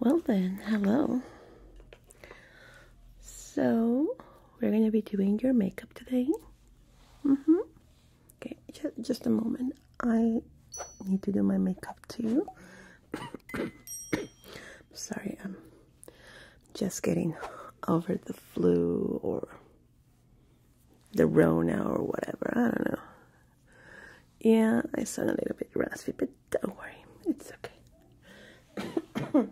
Well then, hello. So, we're gonna be doing your makeup today. Mm-hmm. Okay, just, just a moment. I need to do my makeup too. sorry, I'm just getting over the flu or the Rona or whatever. I don't know. Yeah, I sound a little bit raspy, but don't worry, it's okay.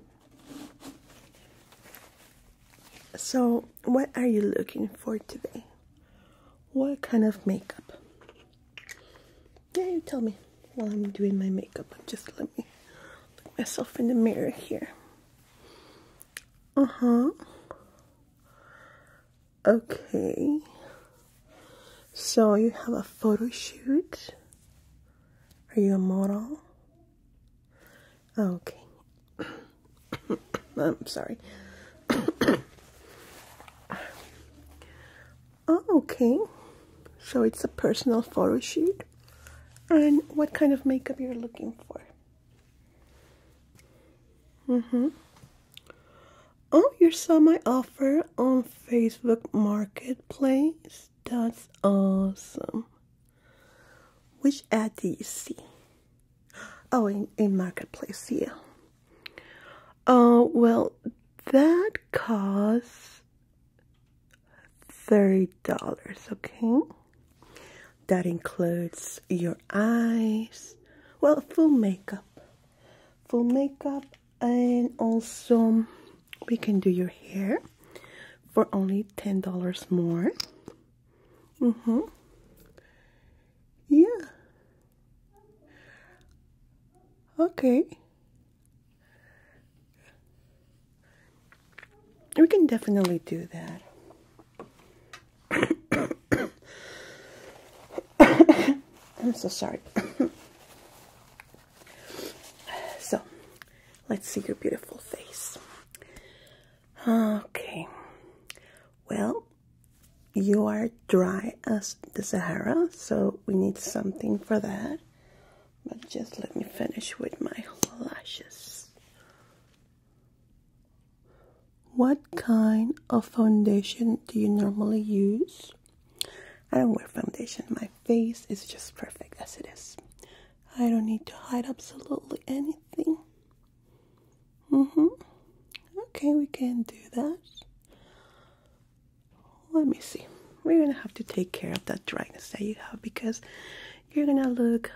so, what are you looking for today? What kind of makeup? Yeah, you tell me while I'm doing my makeup. Just let me look myself in the mirror here. Uh huh. Okay. So you have a photo shoot. Are you a model? Okay. I'm sorry. Oh, okay. So it's a personal photo shoot. And what kind of makeup you're looking for? Mm-hmm. Oh, you saw my offer on Facebook Marketplace. That's awesome. Which ad do you see? Oh, in, in Marketplace, yeah. Oh, well, that costs $30, okay? That includes your eyes, well, full makeup, full makeup, and also we can do your hair for only $10 more. Mm-hmm. Yeah. Okay. We can definitely do that. I'm so sorry. so, let's see your beautiful face. Okay. Well, you are dry as the Sahara, so we need something for that. But just let me finish with my lashes. What kind of foundation do you normally use? I don't wear foundation. My face is just perfect as it is. I don't need to hide absolutely anything. Mm-hmm. Okay, we can do that let me see. We're gonna have to take care of that dryness that you have because you're gonna look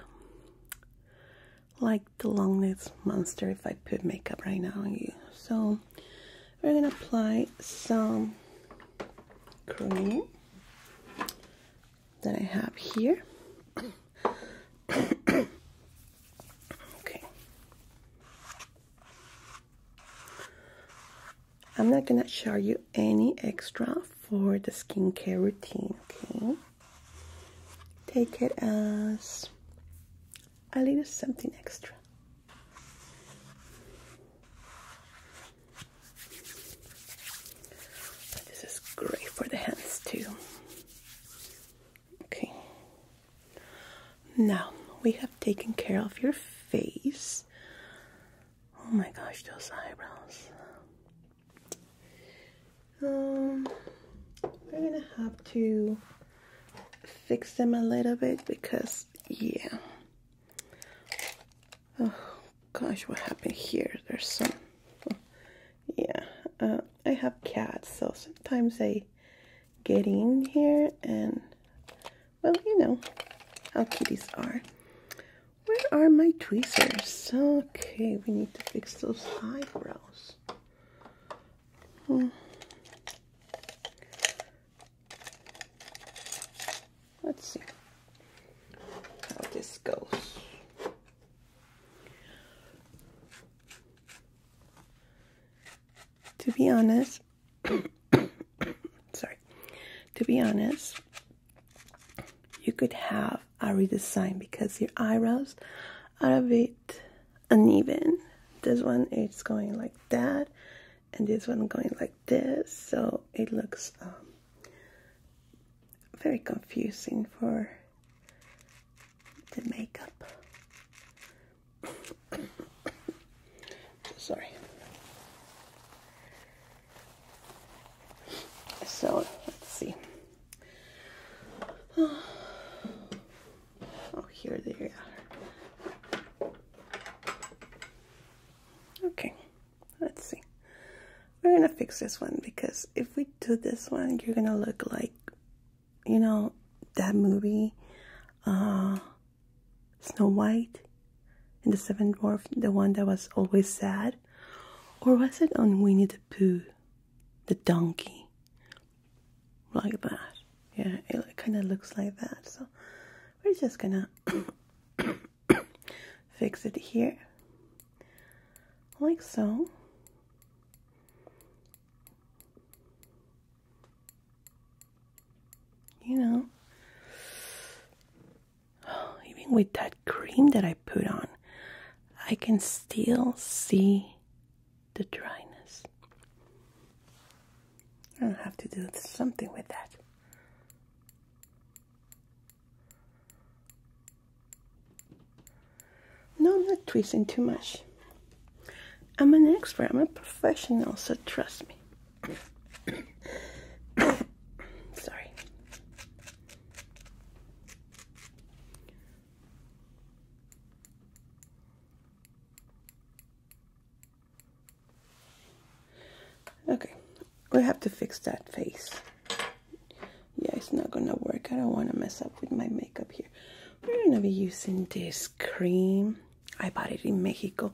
like the long-nosed monster if I put makeup right now on you. So we're gonna apply some cream that I have here. okay. I'm not gonna show you any extra for the skincare routine, okay? Take it as a little something extra. this is great for the hands too. Okay. Now we have taken care of your face. Oh my gosh, those eyebrows. Um, we're gonna have to fix them a little bit because, yeah. Oh gosh, what happened here? There's some. Yeah, uh, I have cats, so sometimes they get in here and well, you know how kitties are. Where are my tweezers? Okay, we need to fix those eyebrows. Hmm. Let's see how this goes. To be honest, sorry, to be honest, you could have a redesign because your eyebrows are a bit uneven. This one is going like that, and this one going like this, so it looks um, very confusing for the makeup. Sorry. So let's see. Oh, oh, here they are. Okay, let's see. We're gonna fix this one because if we do this one, you're gonna look like, you know, that movie. Uh, Snow White and the Seven Dwarf, the one that was always sad? Or was it on Winnie the Pooh, the donkey? Like that. Yeah, it kind of looks like that. So we're just gonna fix it here. Like so. You know. Even with that cream that I put on, I can still see the dryness. I'll have to do something with that. No, not twisting too much. I'm an expert, I'm a professional, so trust me. Sorry. Okay, we have to fix that face. Yeah, it's not gonna work. I don't wanna mess up with my makeup here. We're gonna be using this cream. I bought it in Mexico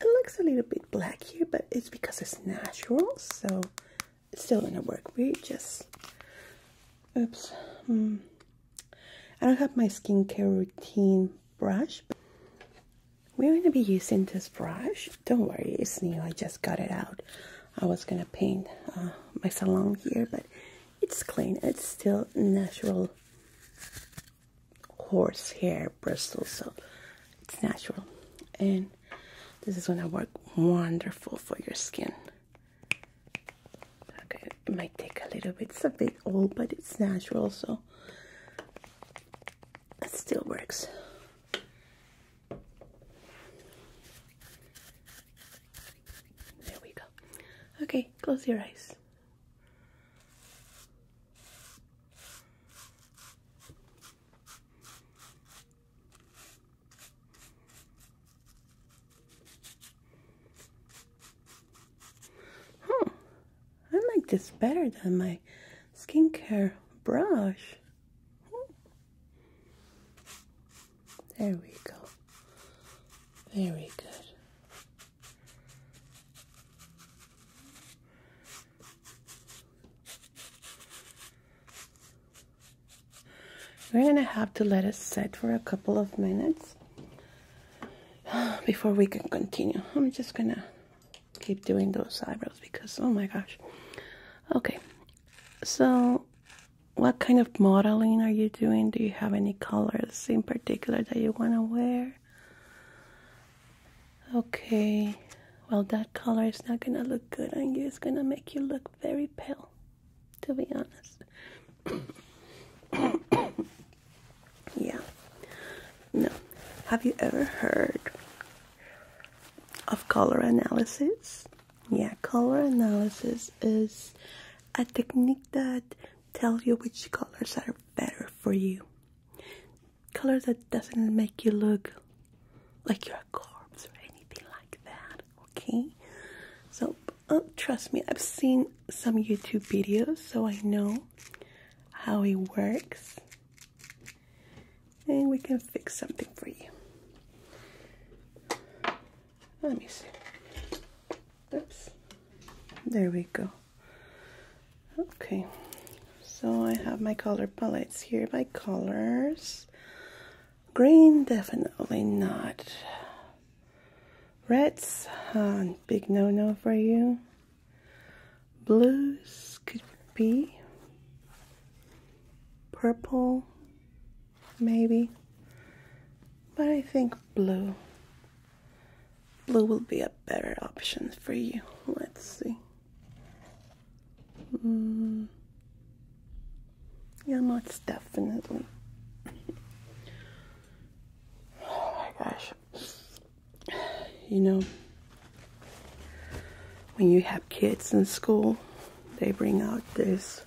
it looks a little bit black here, but it's because it's natural, so it's still gonna work. We just, oops, hmm. I don't have my skincare routine brush, we're gonna be using this brush. Don't worry, it's new, I just got it out. I was gonna paint uh, my salon here, but it's clean, it's still natural horse hair bristles, so it's natural. And this is gonna work wonderful for your skin. Okay, it might take a little bit, it's a bit old, but it's natural, so it still works. There we go. Okay, close your eyes. Huh, I like this better than my skincare brush. There we go. Very good. We're gonna have to let it set for a couple of minutes before we can continue. I'm just gonna keep doing those eyebrows because, oh my gosh. Okay, so what kind of modeling are you doing? Do you have any colors in particular that you wanna wear? Okay, well, that color is not gonna look good on you. It's gonna make you look very pale, to be honest. yeah. No. Have you ever heard of color analysis? Yeah, color analysis is a technique that tells you which colors are better for you color that doesn't make you look like you're a corpse or anything like that, okay? So, oh, trust me, I've seen some YouTube videos, so I know how it works. And we can fix something for you. Let me see. Oops. There we go. Okay, so I have my color palettes here by colors. Green, definitely not. Reds, big no-no for you. Blues could be. Purple, maybe. But I think blue. Blue will be a better option for you. Let's see. Mm. Yeah, most definitely. oh my gosh. You know, when you have kids in school, they bring out these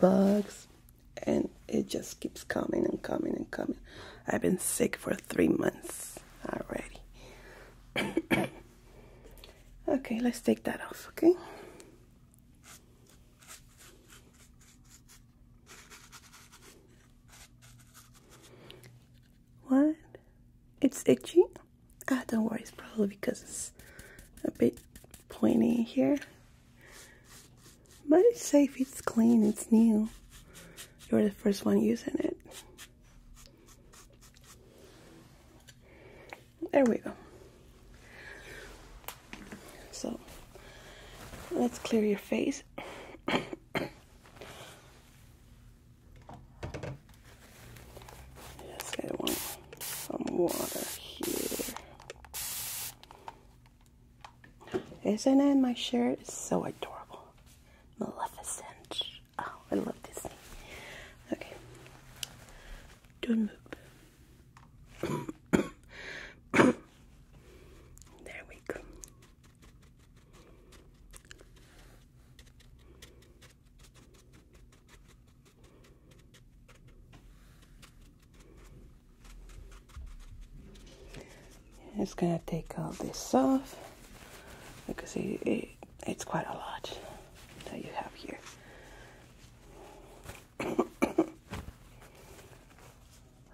bugs and it just keeps coming and coming and coming. I've been sick for three months. Alrighty. okay, let's take that off, okay? What? It's itchy? Ah, don't worry, it's probably because it's a bit pointy here. But it's safe, it's clean, it's new. You're the first one using it. There we go. So let's clear your face. Just I want some water here. Isn't it my shirt? It's so adorable. Maleficent. Oh, I love this thing. Okay. Don't move. there we go. It's gonna take all this off because it, it it's quite a lot that you have here.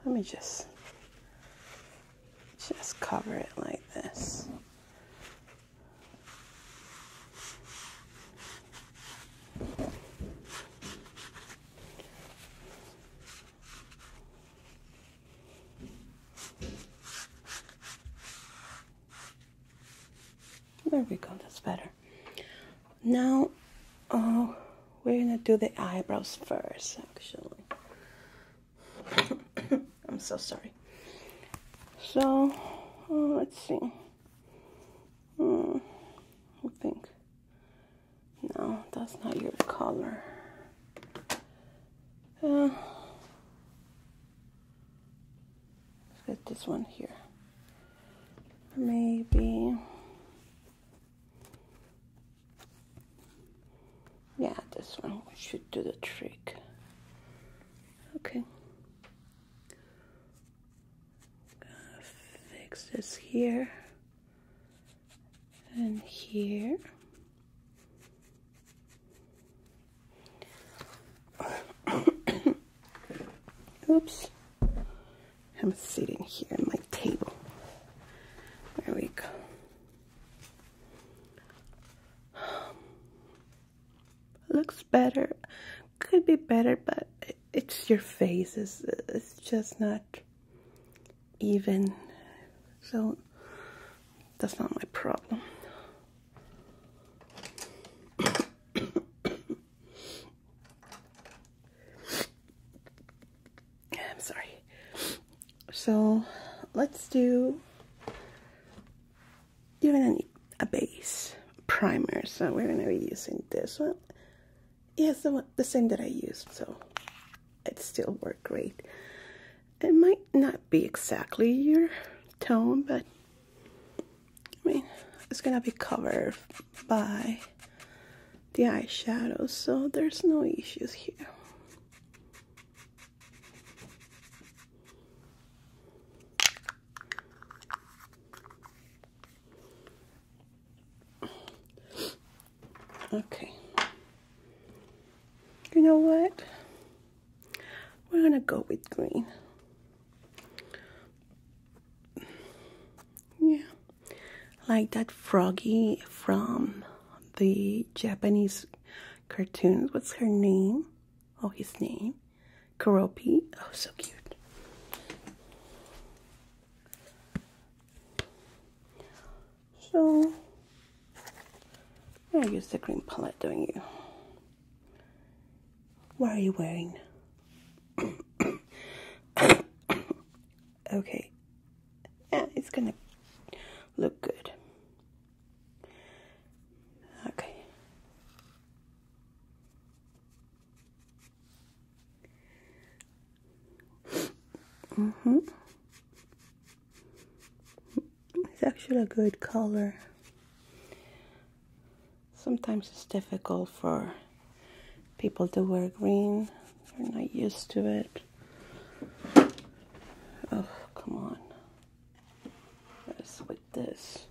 Let me just just cover it like this. There we go, that's better. Now, oh, we're gonna do the eyebrows first, actually. I'm so sorry. So, uh, let's see. Mm, I think. No, that's not your color. Uh, let's get this one here. Maybe. Yeah, this one should do the trick. Okay. fix this here and here. Oops. I'm sitting here at my table. There we go. Looks better. Could be better, but it's your face. It's, it's just not even. So that's not my problem. I'm sorry. So let's do you're gonna need a base primer so we're gonna be using this one yes the, the same that I used so it still worked great it might not be exactly your tone, but I mean, it's gonna be covered by the eyeshadow, so there's no issues here. Okay. You know what? We're gonna go with green. Yeah, like that froggy from the Japanese cartoons. What's her name? Oh, his name. Karopi. Oh, so cute. So where is the green palette doing you? What are you wearing? okay. it's gonna look good. Okay. Mm-hmm. It's actually a good color. Sometimes it's difficult for people to wear green. They're not used to it. Oh, come on. let with this.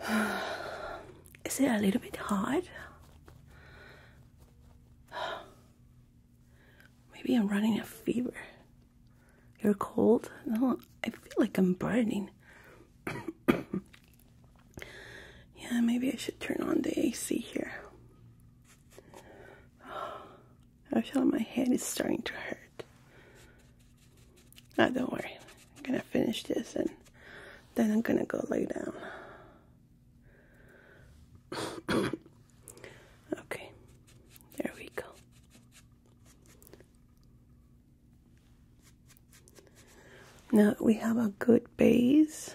Is it a little bit hard? Maybe I'm running a fever. You're cold? No, I feel like I'm burning. yeah, maybe I should turn on the AC here. Oh, I feel my head is starting to hurt. Ah, don't worry. I'm gonna finish this and then I'm gonna go lay down. Okay, there we go. Now we have a good base,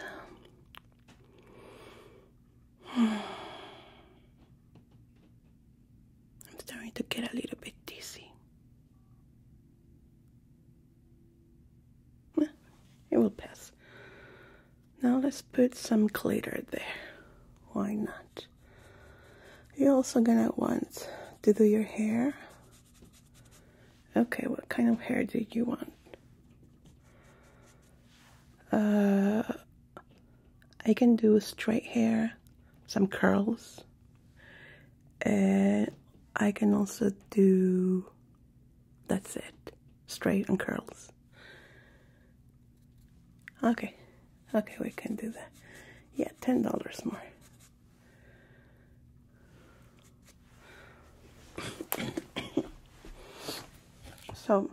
I'm starting to get a little bit dizzy. It will pass. Now let's put some glitter there. Why not? You're also gonna want to do your hair. Okay, what kind of hair do you want? Uh, I can do straight hair, some curls, and I can also do, that's it, straight and curls. Okay, Okay, we can do that. Yeah, ten dollars more. so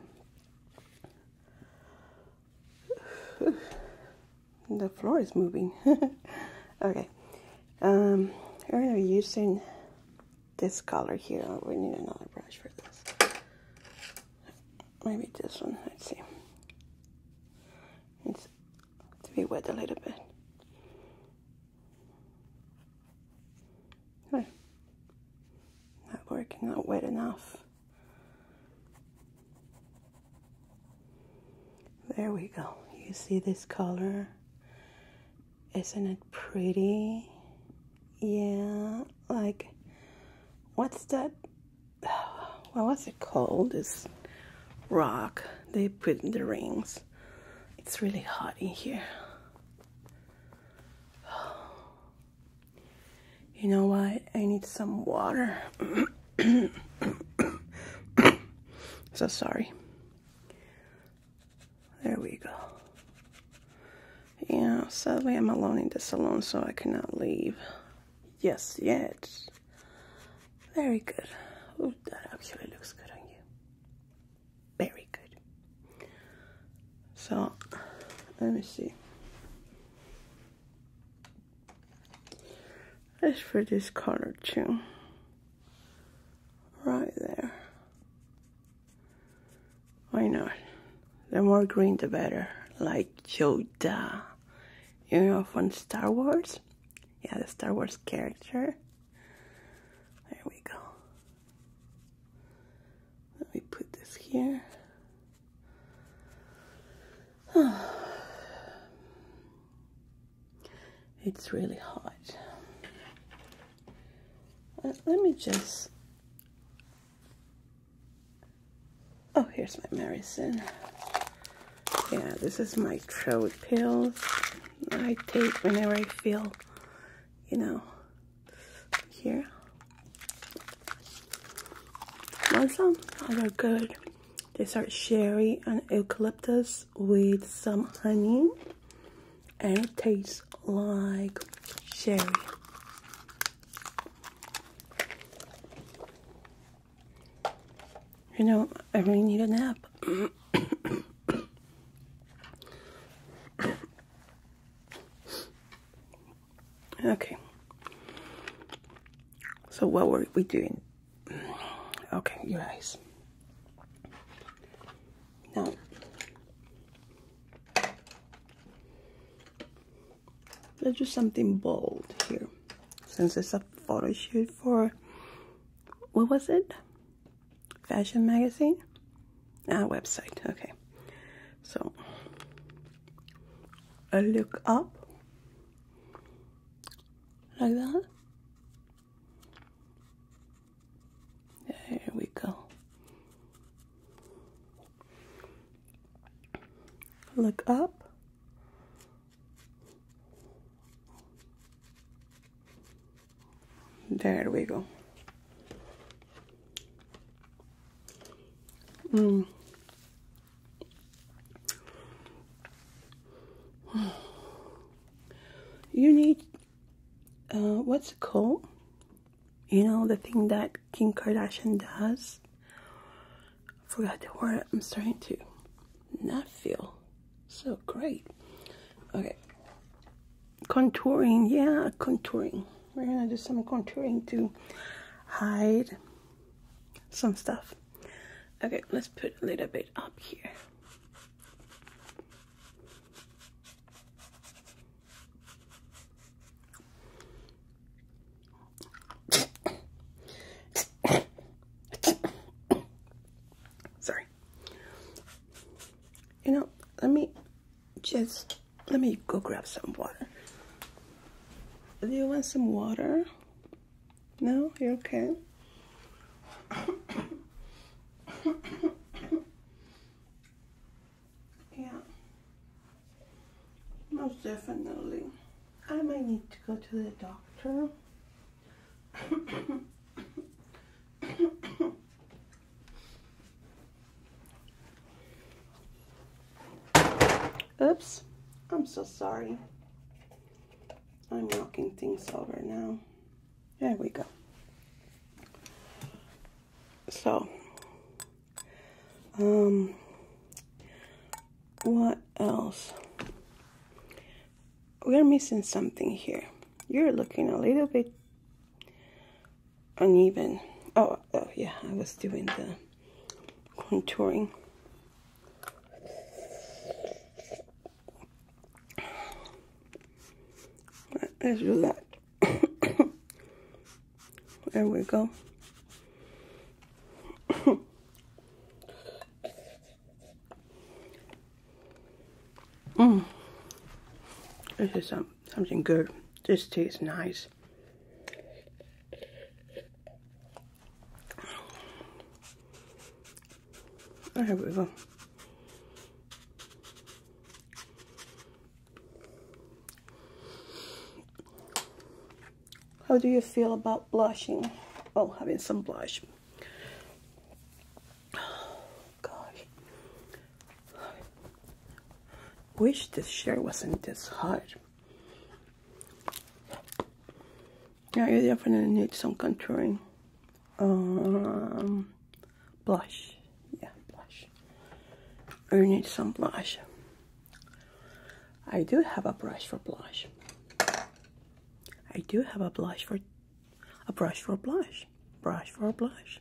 the floor is moving. okay. Um, we're using this color here. Oh, we need another brush for this maybe this one, let's see. It's to be wet a little bit. Huh. Not working, not wet enough. There we go. You see this color? Isn't it pretty? Yeah, like, what's that What was it called? This rock they put in the rings. It's really hot in here. You know what? I need some water. so sorry. There we go. Yeah, sadly, I'm alone in the salon, so I cannot leave. Yes, yet. Very good. Oh, that actually looks good on you. Very good. So, let me see. It's for this color too. Right there. Why not? The more green, the better. Like Yoda. You know, from Star Wars? Yeah, the Star Wars character. There we go. Let me put this here. It's really hot. Uh, let me just Oh, here's my medicine. Yeah, this is my throat pills I take whenever I feel, you know, here. Want some? Oh, they're good. They start sherry and eucalyptus with some honey. And it tastes like sherry. You know, I really need a nap. okay. So what were we doing? Okay, you guys. Now, let's do something bold here since it's a photo shoot for what was it fashion magazine ah website okay so a look up like that there we go Look up. There we go. Mm. You need, uh, what's it called? You know, the thing that Kim Kardashian does? forgot to wear it. I'm starting to not feel so great. Okay. Contouring, yeah, contouring. We're gonna do some contouring to hide some stuff. Okay, let's put a little bit up here. Sorry. You know, let me just let me go grab some water. Do you want some water? No, you're okay. yeah. Most definitely. I might need to go to the doctor. Oops. I'm so sorry. I'm knocking things over now. There we go. So, um, what else? We're missing something here. You're looking a little bit uneven. Oh, oh yeah, I was doing the contouring. Let's do that. There we go. mm. This is some, something good. This tastes nice. There oh, we go. How do you feel about blushing? Oh, having some blush. gosh. Wish this shirt wasn't this hot. Yeah, you definitely need some contouring. Um, blush. Yeah, blush. You need some blush. I do have a brush for blush. I do have a blush for a brush for blush. Brush for blush.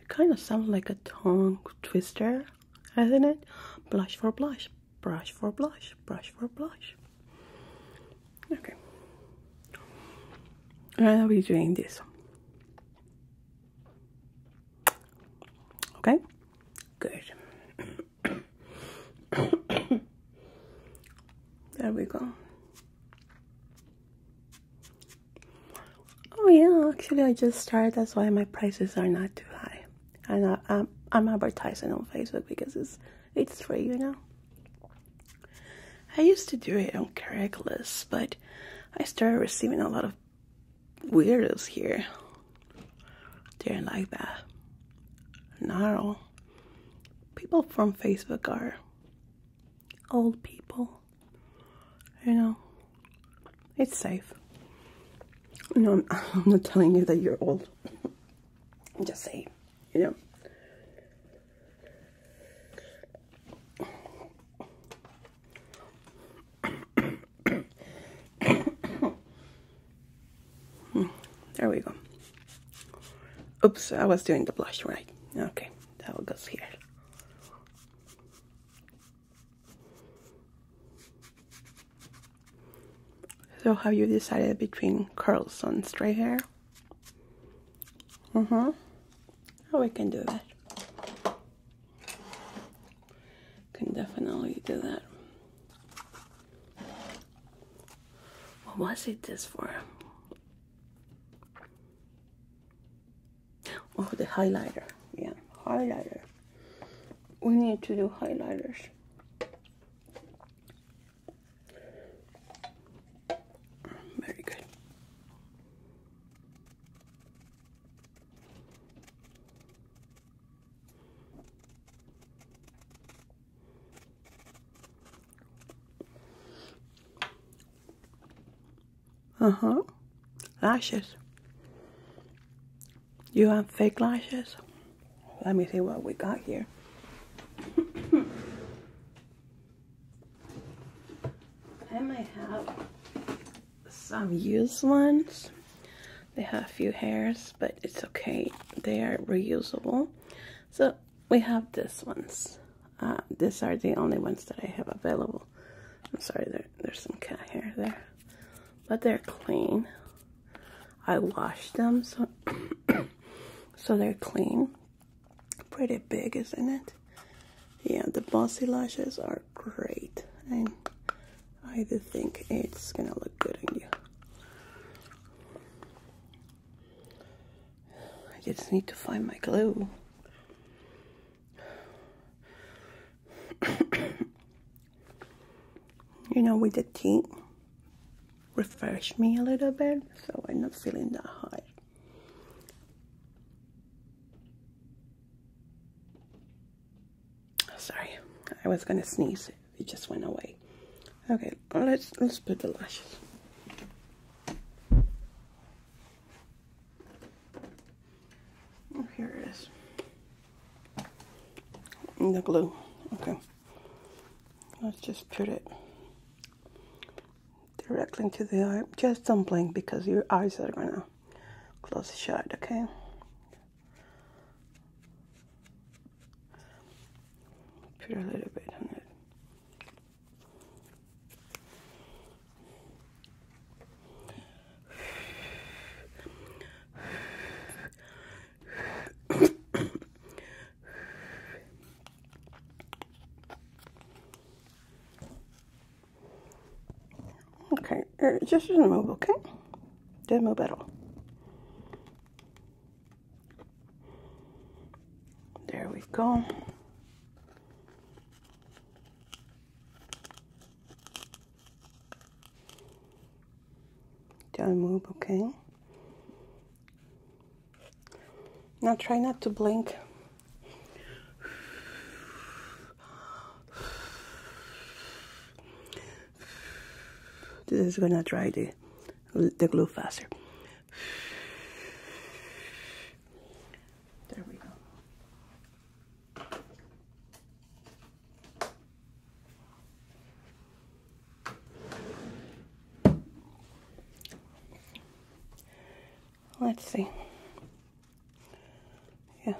It kind of sounds like a tongue twister, doesn't it? Blush for blush. Brush for blush. Brush for blush. Okay. I'll be doing this Okay? Good. there we go. Oh yeah, actually I just started. That's why my prices are not too high. And I, am I'm advertising on Facebook because it's it's free, you know. I used to do it on Craigslist, but I started receiving a lot of weirdos here. They ain't like that. Not all. People from Facebook are old people. You know, it's safe. No, I'm not telling you that you're old. just say, you know. there we go. Oops, I was doing the blush right. Okay, that one goes here. So have you decided between curls and straight hair? Mm-hmm. Oh, we can do that. Can definitely do that. What was it this for? Oh, the highlighter. Yeah, highlighter. We need to do highlighters. Very good. Uh-huh. Lashes. You have fake lashes? Let me see what we got here. I might have some used ones. They have a few hairs, but it's okay. They are reusable. So we have these ones. Uh, these are the only ones that I have available. I'm sorry, there, there's some cat hair there. But they're clean. I washed them, so, so they're clean. Pretty big, isn't it? Yeah, the bossy lashes are great. And I do think it's gonna look good on you. I just need to find my glue. you know, with the tea, refresh me a little bit so I'm not feeling that hot. Sorry, I was gonna sneeze. It just went away. Okay, let's let's put the lashes. Oh, here it is. the glue. Okay. Let's just put it directly into the eye. Just don't blink because your eyes are gonna close shut, okay? Put a little bit on it. Okay, uh, just does move, okay? Don't There we go. do move, okay? Now try not to blink. This is gonna dry the, the glue faster. There we go. Let's see. Yeah,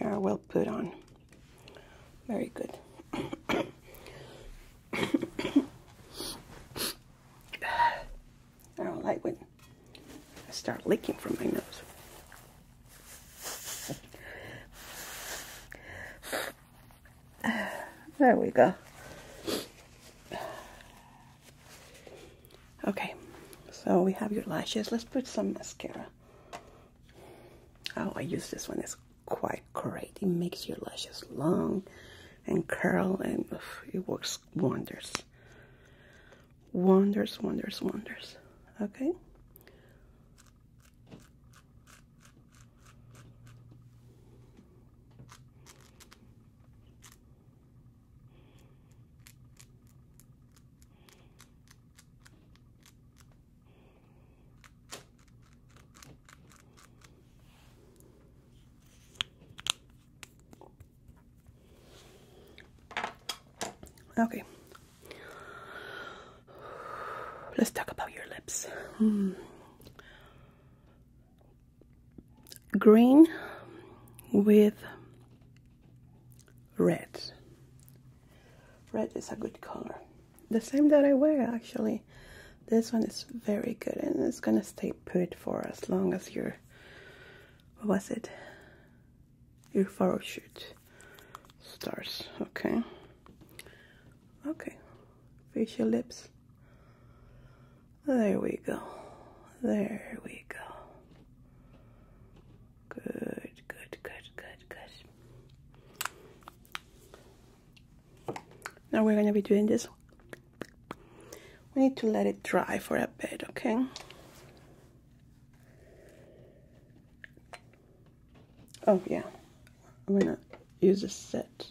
you are well put on. Very good. I don't like when I start leaking from my nose. There we go. Okay, so we have your lashes. Let's put some mascara. Oh, I use this one. It's quite great. It makes your lashes long and curl, and it works wonders. Wonders, wonders, wonders. Okay. Okay. Let's talk about your lips. Hmm. Green with red. Red is a good color. The same that I wear actually. This one is very good and it's gonna stay put for as long as your what was it? Your photo shoot starts. Okay. Okay. Facial lips. There we go. There we go. Good, good, good, good, good. Now we're gonna be doing this. We need to let it dry for a bit, okay? Oh yeah, I'm gonna use a set.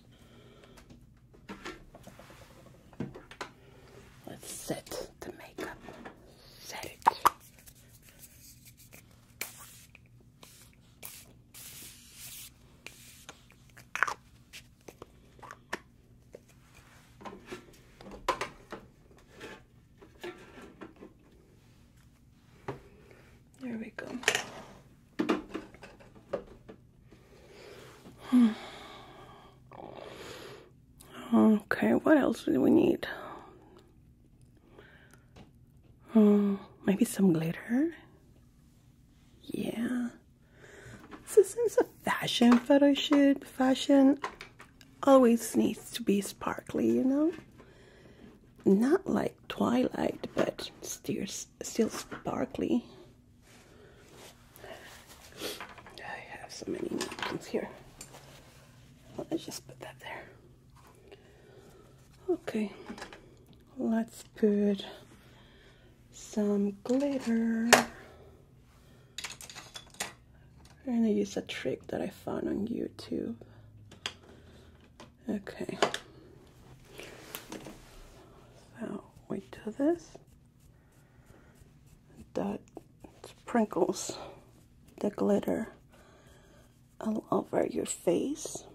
Let's set the makeup. Set it. There we go. Okay, what else do we need? Uh, maybe some glitter. Yeah. this is a fashion photo shoot, fashion always needs to be sparkly, you know? Not like Twilight, but still, still sparkly. I have so many napkins here. Let's just put that there. Okay, let's put some glitter. I'm gonna use a trick that I found on YouTube. Okay. So we do this. That sprinkles the glitter all over your face,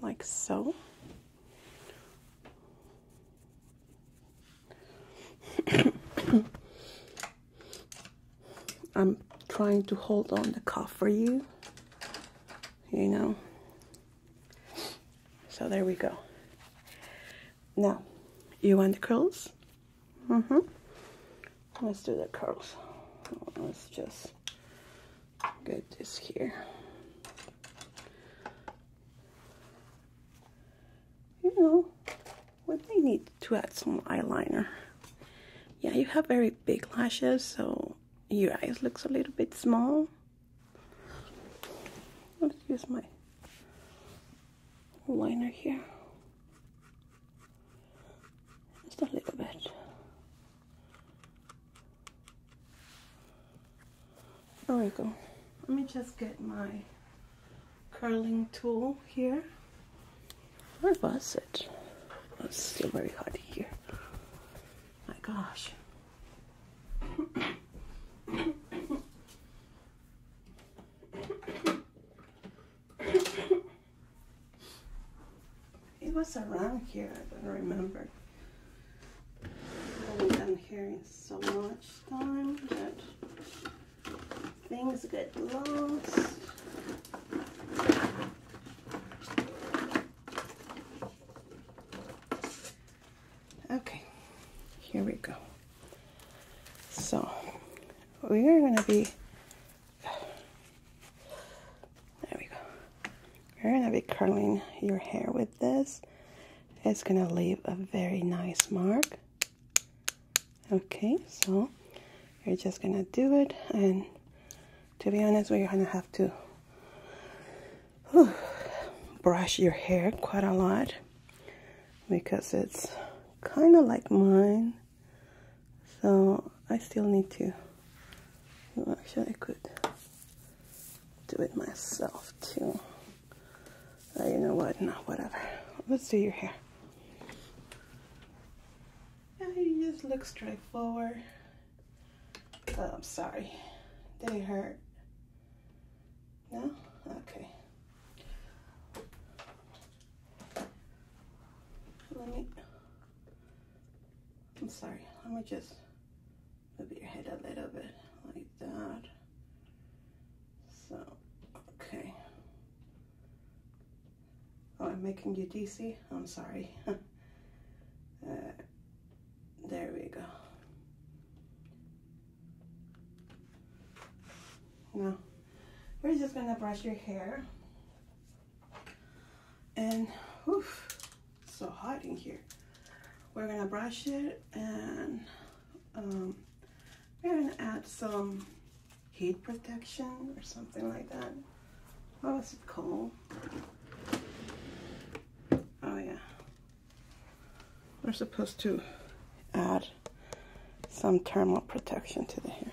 like so. I'm trying to hold on the cuff for you, you know. So there we go. Now, you want the curls? Mm -hmm. Let's do the curls. Let's just get this here. You know, we may need to add some eyeliner. Yeah, you have very big lashes, so your eyes looks a little bit small. Let's use my liner here. Just a little bit. There we go. Let me just get my curling tool here. Where was it? Oh, it's still very hot here. My gosh. It was around here, I don't remember. I've only been here so much time that things get lost. Okay, here we go. So, we are going to be there we go. You're going to be curling your hair with this. It's going to leave a very nice mark. Okay, so you're just going to do it. And to be honest, we're going to have to brush your hair quite a lot because it's kind of like mine so I still need to actually I could do it myself too uh, you know what no whatever let's do your hair yeah you just look straight forward. Oh, I'm sorry they hurt no okay let me, I'm sorry, let me just move your head a little bit like that. So, okay. Oh, I'm making you DC? I'm sorry. Uh, there we go. Now, we're just gonna brush your hair and whew, so hot in here. We're gonna brush it and um, we're gonna add some heat protection or something like that. What was it called? Oh yeah. We're supposed to add some thermal protection to the hair.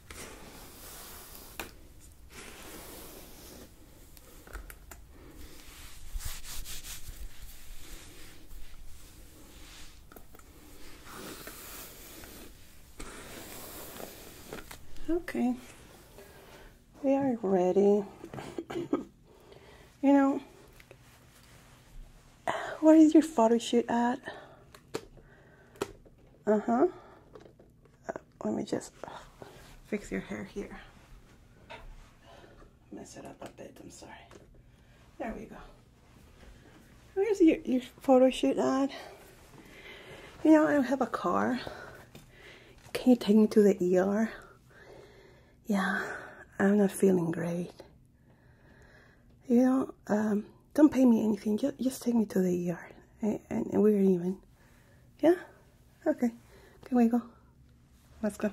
Okay, we are ready. you know, where is your photo shoot at? Uh huh let me just fix your hair here. Mess it up a bit, I'm sorry. There we go. Where's your, your photo shoot on? You know, I don't have a car. Can you take me to the ER? Yeah, I'm not feeling great. You know, um, don't pay me anything. Just, take me to the ER. and we're even. Yeah? Okay. Can we go? Let's go.